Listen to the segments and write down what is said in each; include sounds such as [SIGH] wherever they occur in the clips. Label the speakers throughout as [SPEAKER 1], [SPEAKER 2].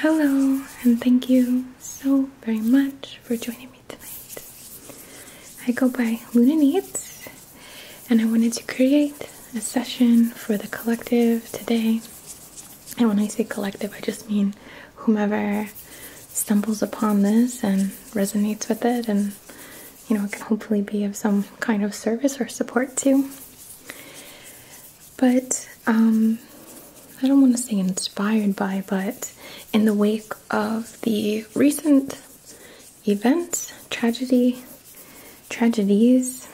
[SPEAKER 1] Hello, and thank you so very much for joining me tonight. I go by Luna Needs, and I wanted to create a session for the collective today and when I say collective, I just mean whomever stumbles upon this and resonates with it, and you know, it can hopefully be of some kind of service or support to. But um, I don't want to say inspired by, but in the wake of the recent events, tragedy, tragedies,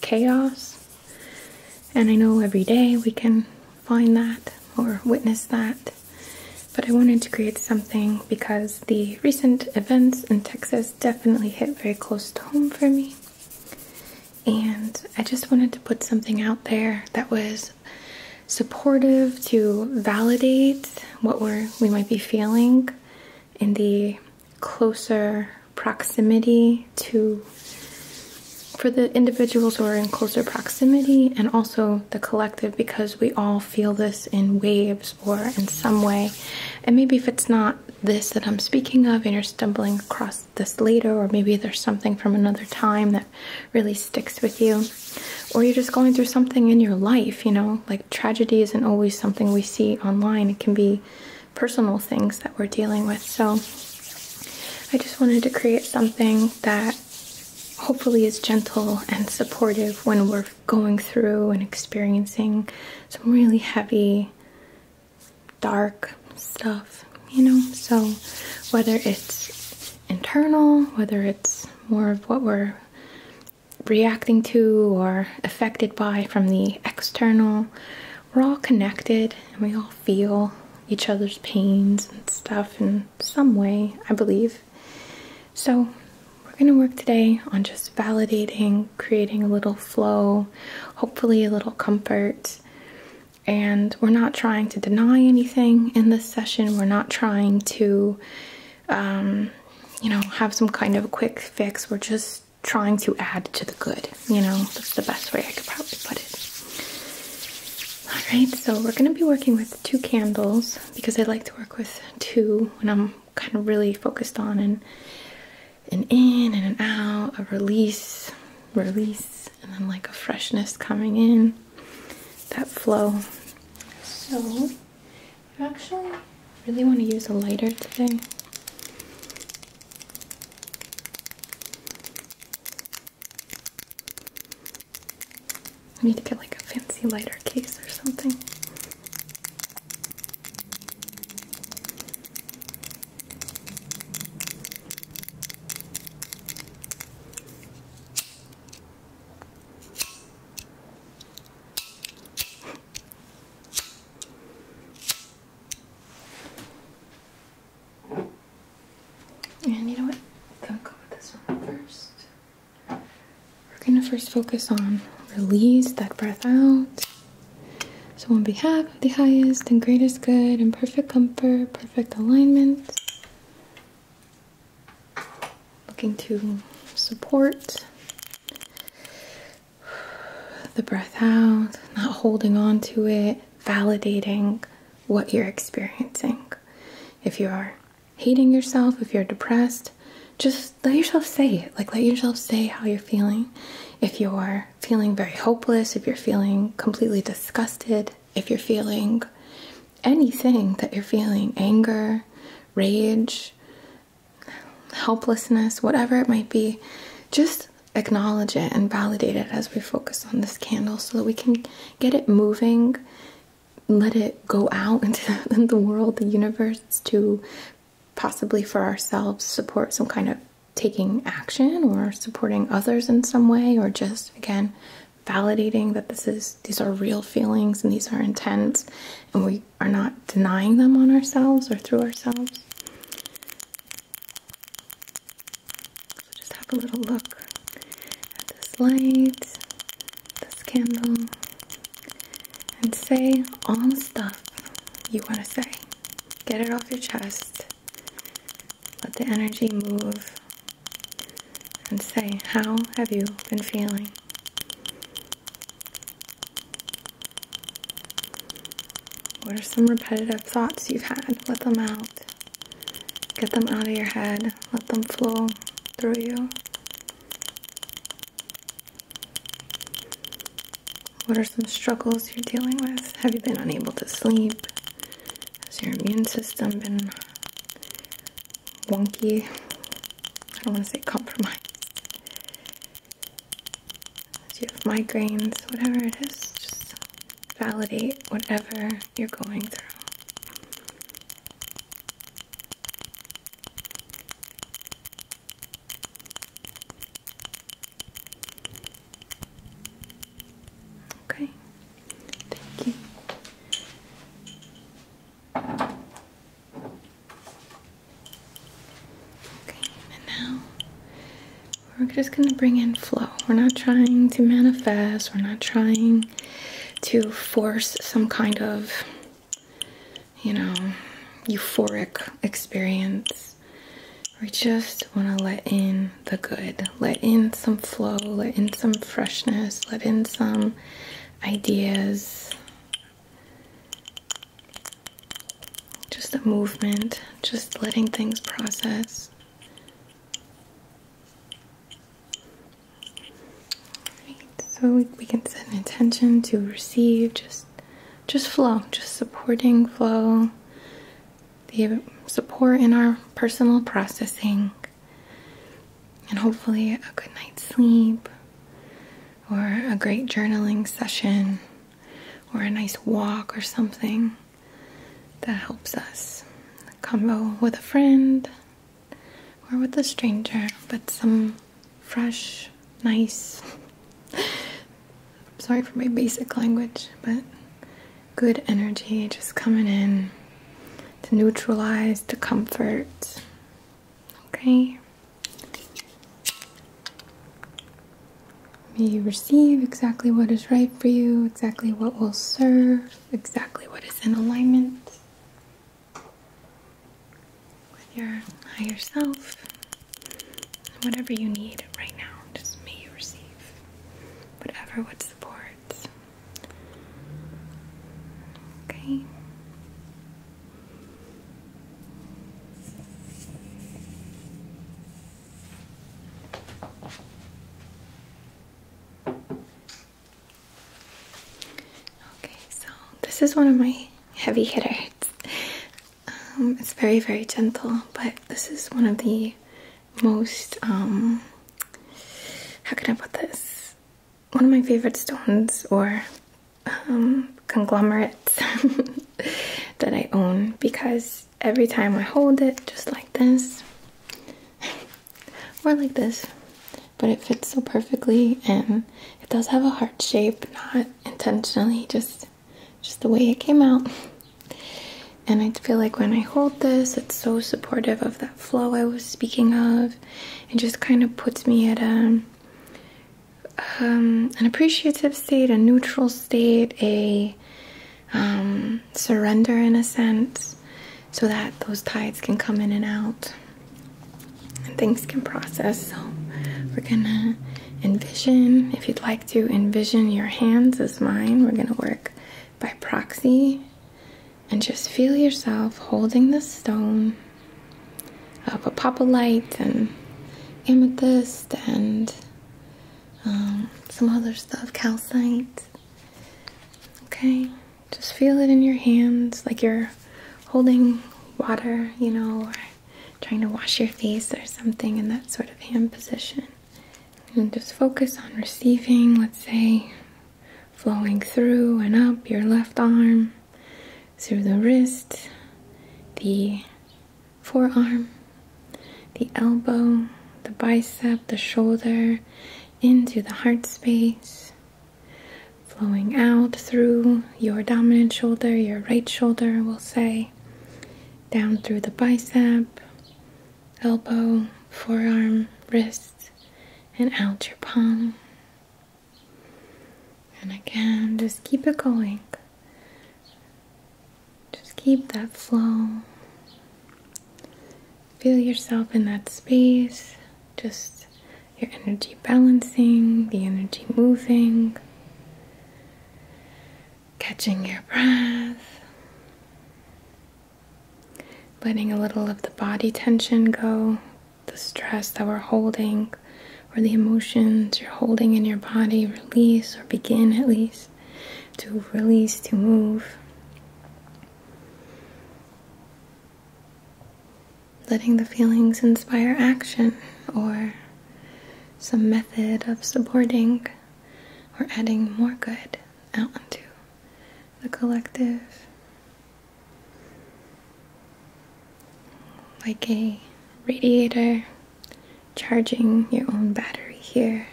[SPEAKER 1] chaos, and I know every day we can find that or witness that. But I wanted to create something because the recent events in Texas definitely hit very close to home for me. And I just wanted to put something out there that was supportive to validate what we might be feeling in the closer proximity to for the individuals who are in closer proximity and also the collective because we all feel this in waves or in some way. And maybe if it's not this that I'm speaking of and you're stumbling across this later, or maybe there's something from another time that really sticks with you, or you're just going through something in your life, you know, like tragedy isn't always something we see online, it can be personal things that we're dealing with. So, I just wanted to create something that hopefully is gentle and supportive when we're going through and experiencing some really heavy, dark stuff, you know? So whether it's internal, whether it's more of what we're reacting to or affected by from the external, we're all connected and we all feel each other's pains and stuff in some way, I believe. So, we're going to work today on just validating, creating a little flow, hopefully, a little comfort. And we're not trying to deny anything in this session. We're not trying to, um, you know, have some kind of quick fix. We're just trying to add to the good. You know, that's the best way I could probably put it. Alright, so we're going to be working with two candles because I like to work with two when I'm kind of really focused on an, an in and an out, a release, release, and then like a freshness coming in, that flow. So, I actually really want to use a lighter today. I need to get like a fancy lighter case or something. And you know what? we first. We're gonna first focus on release that breath out. So on behalf of the highest and greatest good and perfect comfort, perfect alignment. Looking to support the breath out, not holding on to it, validating what you're experiencing. If you are hating yourself, if you're depressed, just let yourself say it. Like, let yourself say how you're feeling. If you're feeling very hopeless, if you're feeling completely disgusted, if you're feeling anything that you're feeling anger, rage, helplessness, whatever it might be just acknowledge it and validate it as we focus on this candle so that we can get it moving, let it go out into [LAUGHS] the world, the universe to possibly for ourselves support some kind of taking action or supporting others in some way or just again validating that this is these are real feelings and these are intense and we are not denying them on ourselves or through ourselves so just have a little look at this light, this candle, and say all the stuff you want to say. Get it off your chest. Let the energy move. And say, how have you been feeling? What are some repetitive thoughts you've had? Let them out. Get them out of your head, let them flow through you. What are some struggles you're dealing with? Have you been unable to sleep? Has your immune system been wonky? I don't want to say compromised. Do you have migraines? Whatever it is, validate whatever you're going through. Okay, thank you. Okay, and now we're just going to bring in flow. We're not trying to manifest, we're not trying to force some kind of, you know, euphoric experience. We just want to let in the good, let in some flow, let in some freshness, let in some ideas. Just a movement, just letting things process so we can set an intention to receive, just just flow, just supporting flow, the support in our personal processing, and hopefully a good night's sleep, or a great journaling session, or a nice walk or something that helps us. A combo with a friend or with a stranger, but some fresh, nice, [LAUGHS] sorry for my basic language, but good energy just coming in to neutralize to comfort. Okay. May you receive exactly what is right for you exactly what will serve, exactly what is in alignment with your higher self. Whatever you need right now, just may you receive whatever What supports? Okay. Okay, so this is one of my heavy hitters. Um, it's very, very gentle, but this is one of the most, um, how can I put this? One of my favorite stones or um, conglomerates [LAUGHS] that I own because every time I hold it, just like this, [LAUGHS] or like this. But it fits so perfectly, and it does have a heart shape, not intentionally, just just the way it came out. And I feel like when I hold this, it's so supportive of that flow I was speaking of. and just kind of puts me at a um, an appreciative state, a neutral state, a um, surrender in a sense so that those tides can come in and out and things can process. So we're gonna envision, if you'd like to envision your hands as mine, we're gonna work by proxy and just feel yourself holding the stone of apopalite and amethyst and um, some other stuff, calcite. Okay, just feel it in your hands like you're holding water, you know, or trying to wash your face or something in that sort of hand position. And just focus on receiving, let's say, flowing through and up your left arm, through the wrist, the forearm, the elbow, the bicep, the shoulder, into the heart space, flowing out through your dominant shoulder, your right shoulder, we'll say, down through the bicep, elbow, forearm, wrist, and out your palm. And again, just keep it going. Just keep that flow. Feel yourself in that space, just your energy balancing, the energy moving, catching your breath, letting a little of the body tension go, the stress that we're holding, or the emotions you're holding in your body, release or begin at least to release, to move. Letting the feelings inspire action or some method of supporting or adding more good out into the collective. Like a radiator charging your own battery here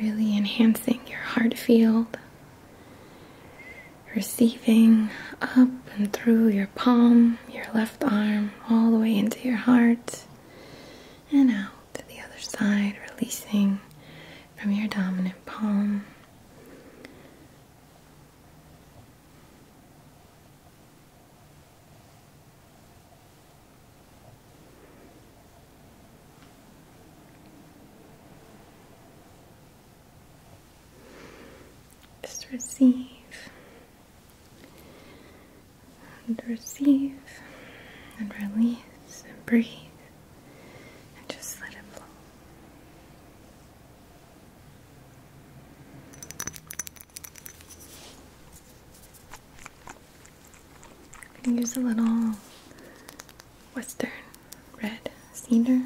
[SPEAKER 1] really enhancing your heart field, receiving up and through your palm, your left arm, all the way into your heart, and out to the other side, releasing from your dominant palm. Just receive and receive and release and breathe and just let it flow. I can use a little western red cedar.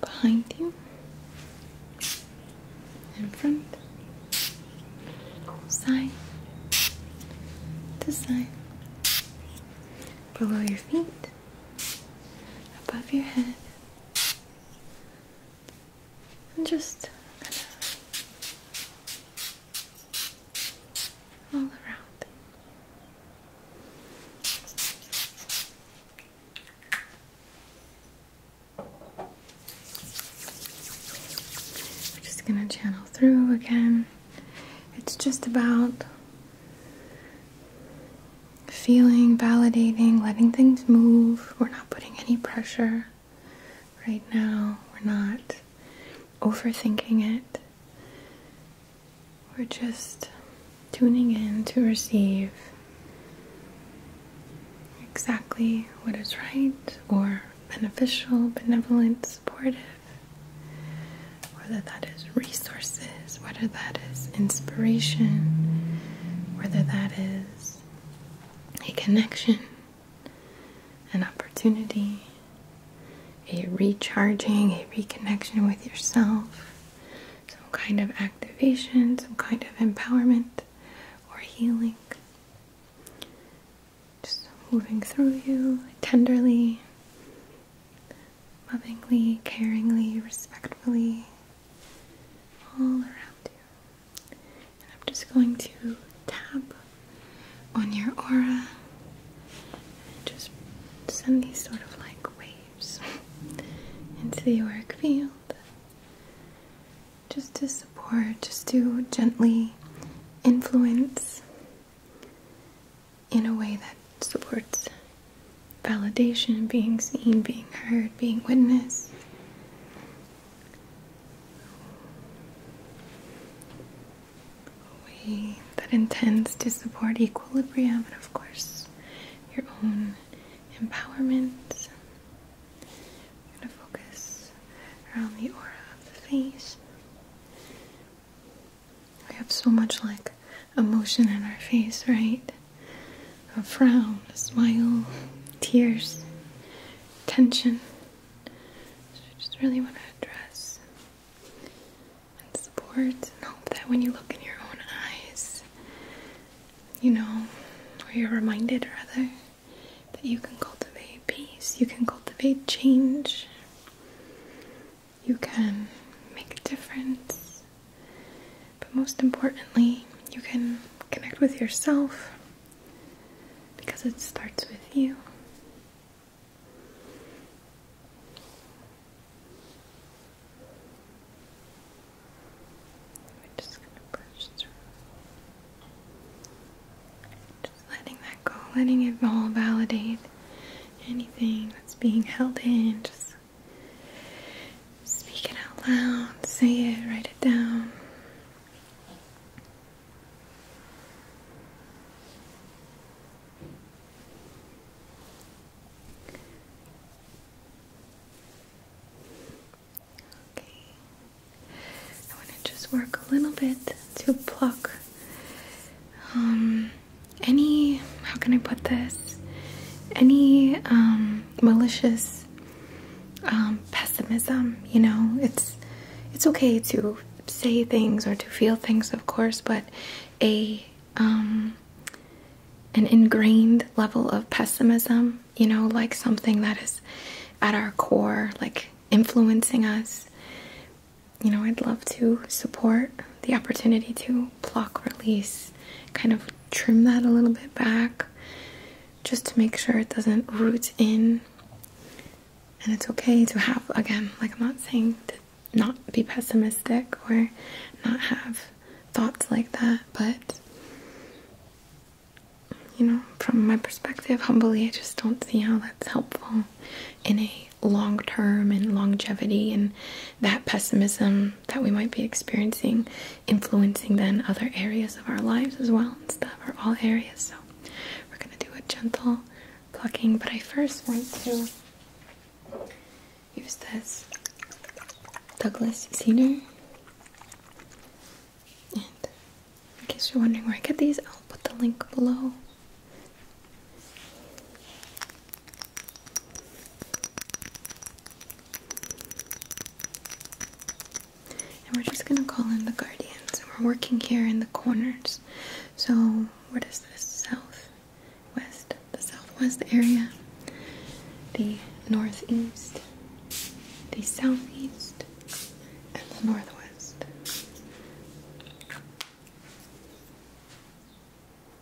[SPEAKER 1] Behind you, in front, side to side, below your feet, above your head. And just kind of all around. We're just gonna channel through again. It's just about feeling, validating, letting things move. We're not putting any pressure right now. We're not overthinking it. We're just tuning in to receive exactly what is right or beneficial, benevolent, supportive whether that is resources, whether that is inspiration, whether that is a connection, an opportunity, a recharging, a reconnection with yourself, some kind of activation, some kind of empowerment or healing. Just moving through you tenderly, lovingly, caringly, respectfully, all around you. And I'm just going to tap on your aura and just send these sort of like waves into the auric field just to support, just to gently influence in a way that supports validation, being seen, being heard, being witnessed. A way that intends to support equilibrium and, of course, your own empowerment. I'm going to focus around the aura of the face. We have so much like emotion in our face, right? A frown, a smile, tears, tension. So I just really want to address and support and hope that when you look in your own eyes, you know, or you're reminded rather, that you can cultivate peace, you can cultivate change you can make a difference, but most importantly, you can connect with yourself because it starts with you. We're just going to push through. Just letting that go, letting it all validate anything that's being held in, just speak it out loud, say it, write it down. Okay. I want to just work a little bit to pluck um, any how can I put this? Any um, malicious um, pessimism. You know, it's it's okay to say things or to feel things, of course, but a um, an ingrained level of pessimism. You know, like something that is at our core, like influencing us you know, I'd love to support the opportunity to block release, kind of trim that a little bit back just to make sure it doesn't root in. And it's okay to have, again, like I'm not saying to not be pessimistic or not have thoughts like that, but you know, from my perspective, humbly, I just don't see how that's helpful in a long term and longevity and that pessimism that we might be experiencing influencing then other areas of our lives as well and stuff or all areas so we're going to do a gentle plucking but i first want to use this douglas cedar and in case you're wondering where i get these i'll put the link below and we're just gonna call in the guardians. And we're working here in the corners. So, what is this? South, west, the southwest area, the northeast, the southeast, and the northwest.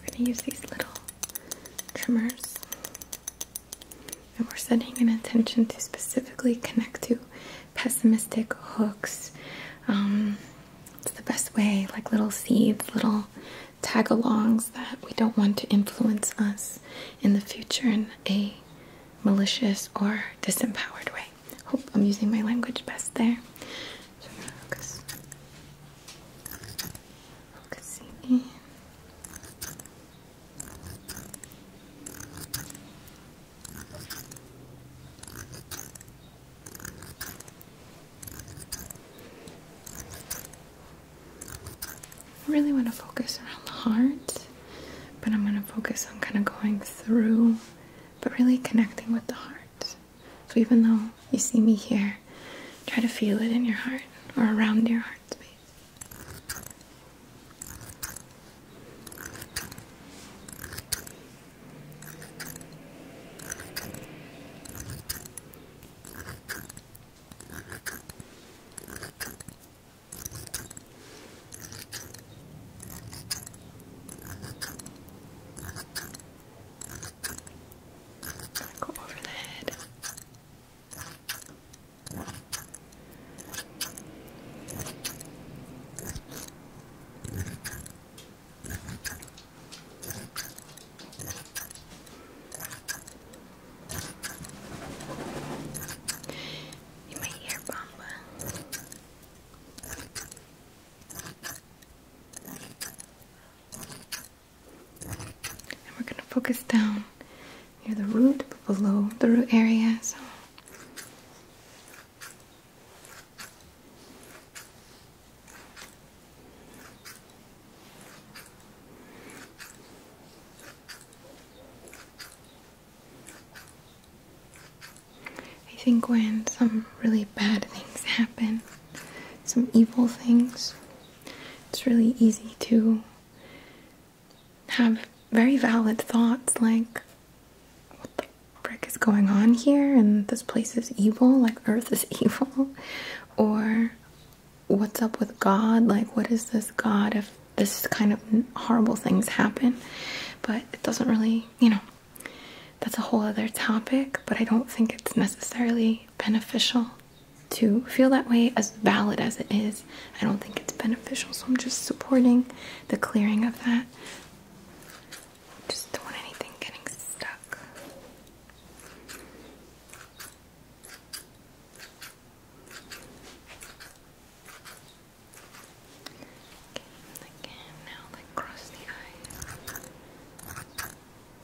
[SPEAKER 1] We're going to use these little trimmers. And we're setting an intention to specifically connect to pessimistic hooks. Um, it's the best way, like little seeds, little tag alongs that we don't want to influence us in the future in a malicious or disempowered way. Hope I'm using my language best there. So I'm gonna focus I really want to focus around the heart, but I'm going to focus on kind of going through, but really connecting with the heart. So even though you see me here, try to feel it in your heart or around your heart space. Go over the head. You might hear Bamba. And we're going to focus down near the root, but below the root area. So I think when some really bad things happen, some evil things, it's really easy to have very valid thoughts like, what the frick is going on here? And this place is evil, like Earth is [LAUGHS] evil. Or, what's up with God? Like, what is this God if this kind of horrible things happen? But it doesn't really, you know, that's a whole other topic, but I don't think it's necessarily beneficial to feel that way, as valid as it is, I don't think it's beneficial. So I'm just supporting the clearing of that. Just don't want anything getting stuck. Okay, again, now like cross the eye.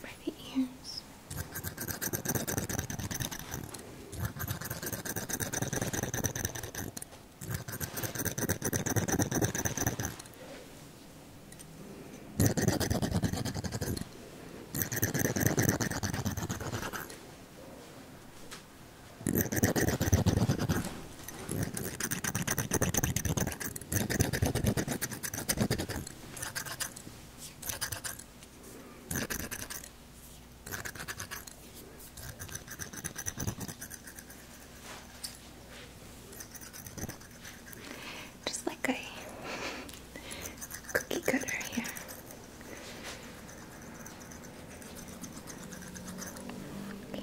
[SPEAKER 1] for the ears. Just like a cookie cutter here. Okay.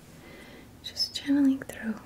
[SPEAKER 1] just channeling through. through.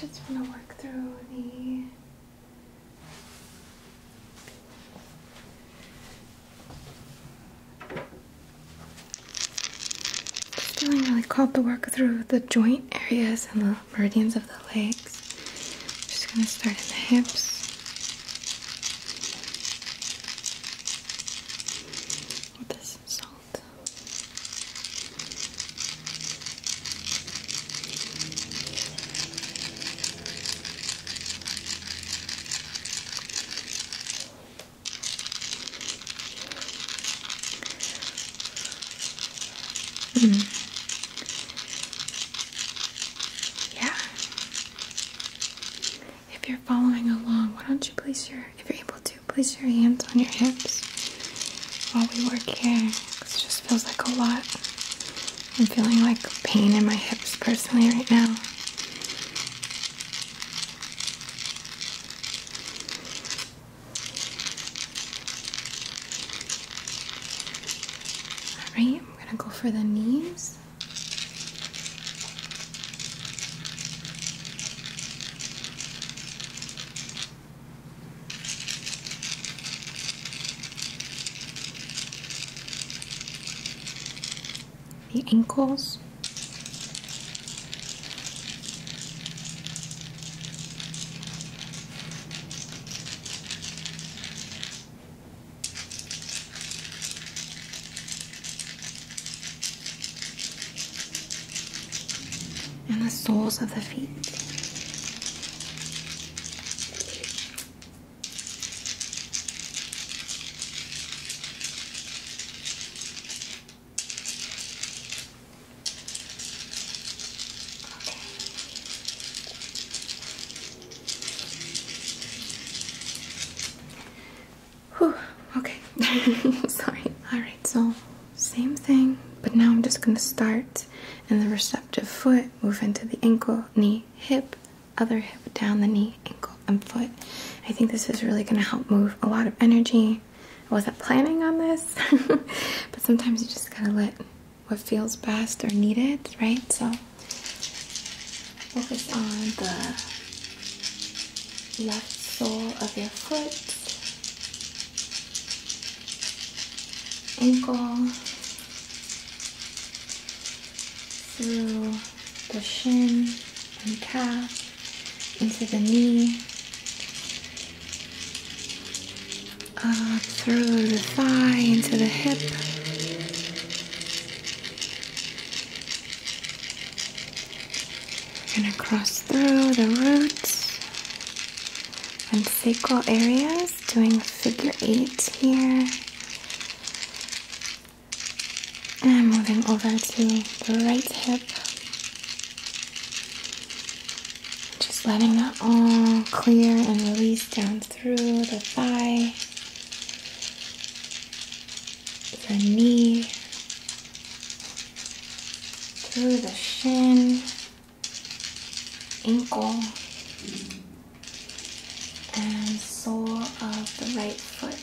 [SPEAKER 1] I just want to work through the just feeling really called to work through the joint areas and the meridians of the legs. I'm just gonna start in the hips. this salt. Mm. Yeah. If you're following along, why don't you place your, if you're able to, place your hands on your hips while we work here. It just feels like a lot. I'm feeling like pain in my hips personally right now. Alright, I'm gonna go for the knees the ankles. and the soles of the feet okay. [LAUGHS] Sorry. Alright, so same thing, but now I'm just gonna start and the receptive foot, move into the ankle, knee, hip, other hip down the knee, ankle, and foot. I think this is really going to help move a lot of energy. I wasn't planning on this, [LAUGHS] but sometimes you just got to let what feels best or needed, right? So focus on the left sole of your foot, ankle, through the shin and calf, into the knee, through the thigh, into the hip. We're gonna cross through the roots and sacral areas, doing figure eight here. And moving over to the right hip. Just letting that all clear and release down through the thigh, the knee, through the shin, ankle and sole of the right foot.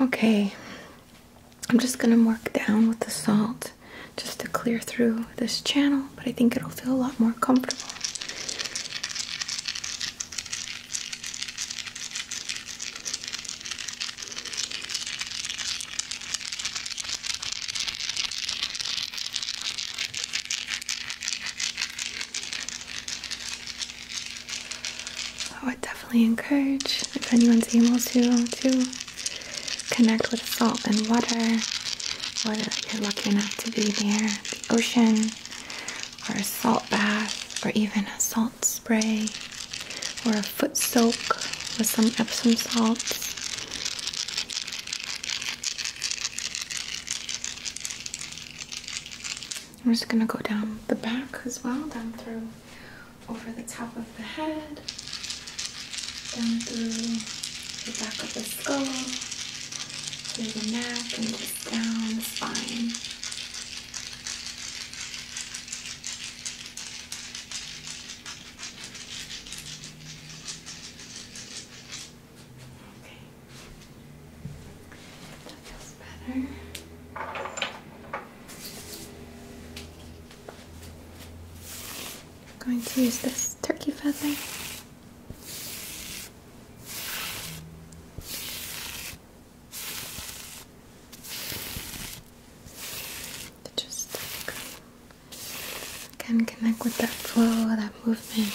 [SPEAKER 1] okay, I'm just gonna work down with the salt just to clear through this channel, but I think it'll feel a lot more comfortable. Oh, I would definitely encourage if anyone's able to to connect with salt and water, whether you're lucky enough to be near the ocean, or a salt bath, or even a salt spray, or foot soak with some Epsom salts. I'm just gonna go down the back as well, down through over the top of the head, down through the back of the skull, through the neck, and just down the spine. Okay. That feels better. I'm going to use this turkey feather just like, can connect with that flow, that movement.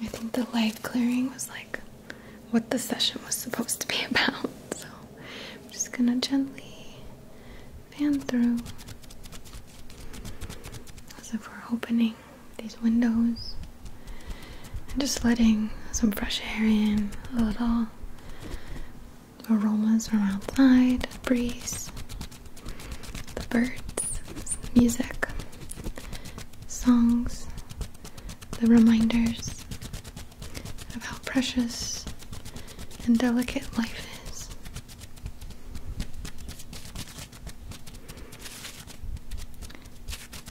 [SPEAKER 1] I think the light clearing was like what the session was supposed to be [LAUGHS] about. So I'm just gonna gently fan through so for opening these windows and just letting some fresh air in, a little aromas from outside, breeze, the birds, music, songs, the reminders of how precious and delicate life is.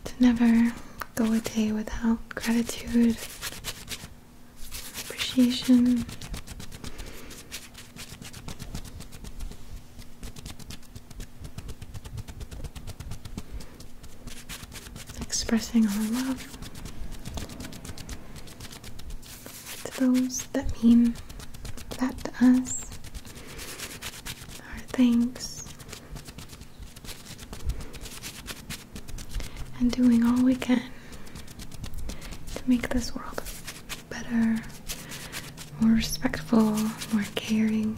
[SPEAKER 1] To never go a day without gratitude, appreciation. Expressing our love to those that mean that to us. Our thanks. And doing all we can to make this world better, more respectful, more caring,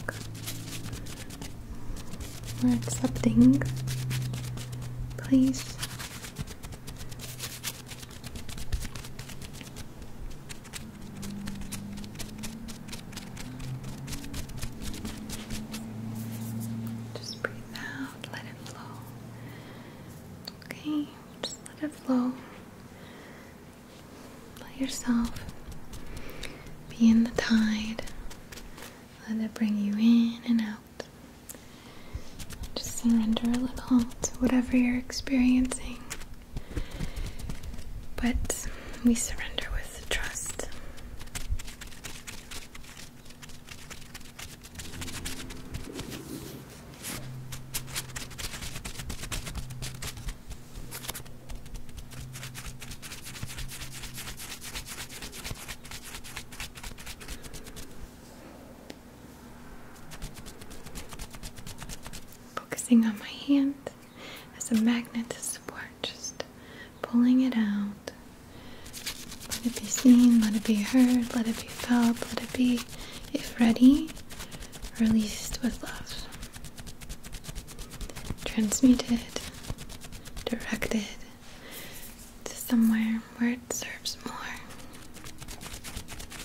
[SPEAKER 1] more accepting. Please. Just breathe out, let it flow. Okay, just let it flow. Let yourself be in the tide. Let it bring you in and out. Just surrender a little to whatever you're experiencing. But we surrender with trust. Focusing on my hand as a magnet to support, just pulling it out. Let it be seen, let it be heard, let it be felt, let it be, if ready, released with love. Transmuted, directed to somewhere where it serves more.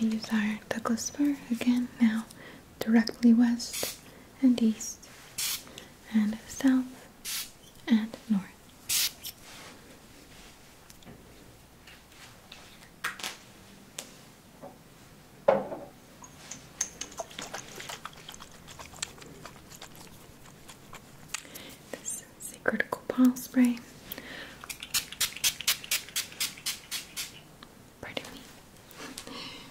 [SPEAKER 1] I'm going to use our Douglas spur again now directly west and east and south and north. This is a spray. Pardon me. [LAUGHS]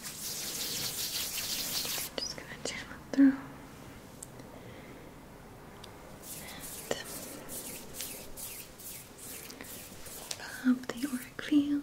[SPEAKER 1] Just gonna channel through. And um, the auric field.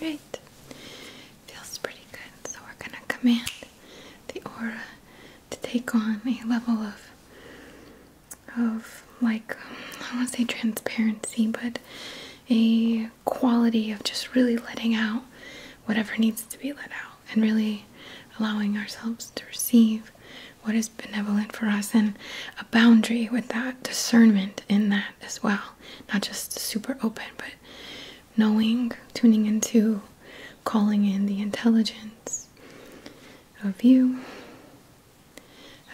[SPEAKER 1] Alright, feels pretty good. So, we're going to command the aura to take on a level of, of like, I won't say transparency, but a quality of just really letting out whatever needs to be let out and really allowing ourselves to receive what is benevolent for us and a boundary with that discernment in that as well. Not just super open, but knowing, tuning into, calling in the intelligence of you,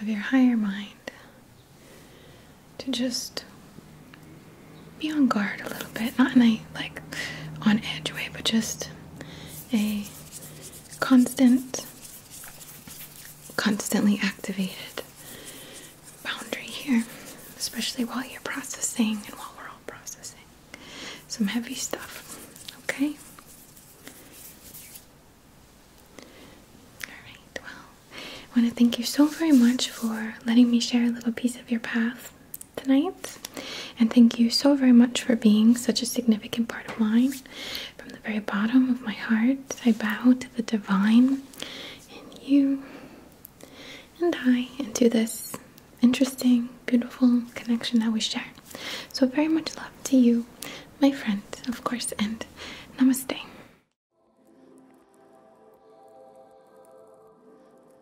[SPEAKER 1] of your higher mind, to just be on guard a little bit. Not in a like on edge way, but just a constant, constantly activated boundary here, especially while you're processing and while we're all processing some heavy stuff. Okay? Alright, well, I want to thank you so very much for letting me share a little piece of your path tonight. And thank you so very much for being such a significant part of mine. From the very bottom of my heart, I bow to the divine in you and I and to this interesting, beautiful connection that we share. So, very much love to you, my friend, of course, and namaste.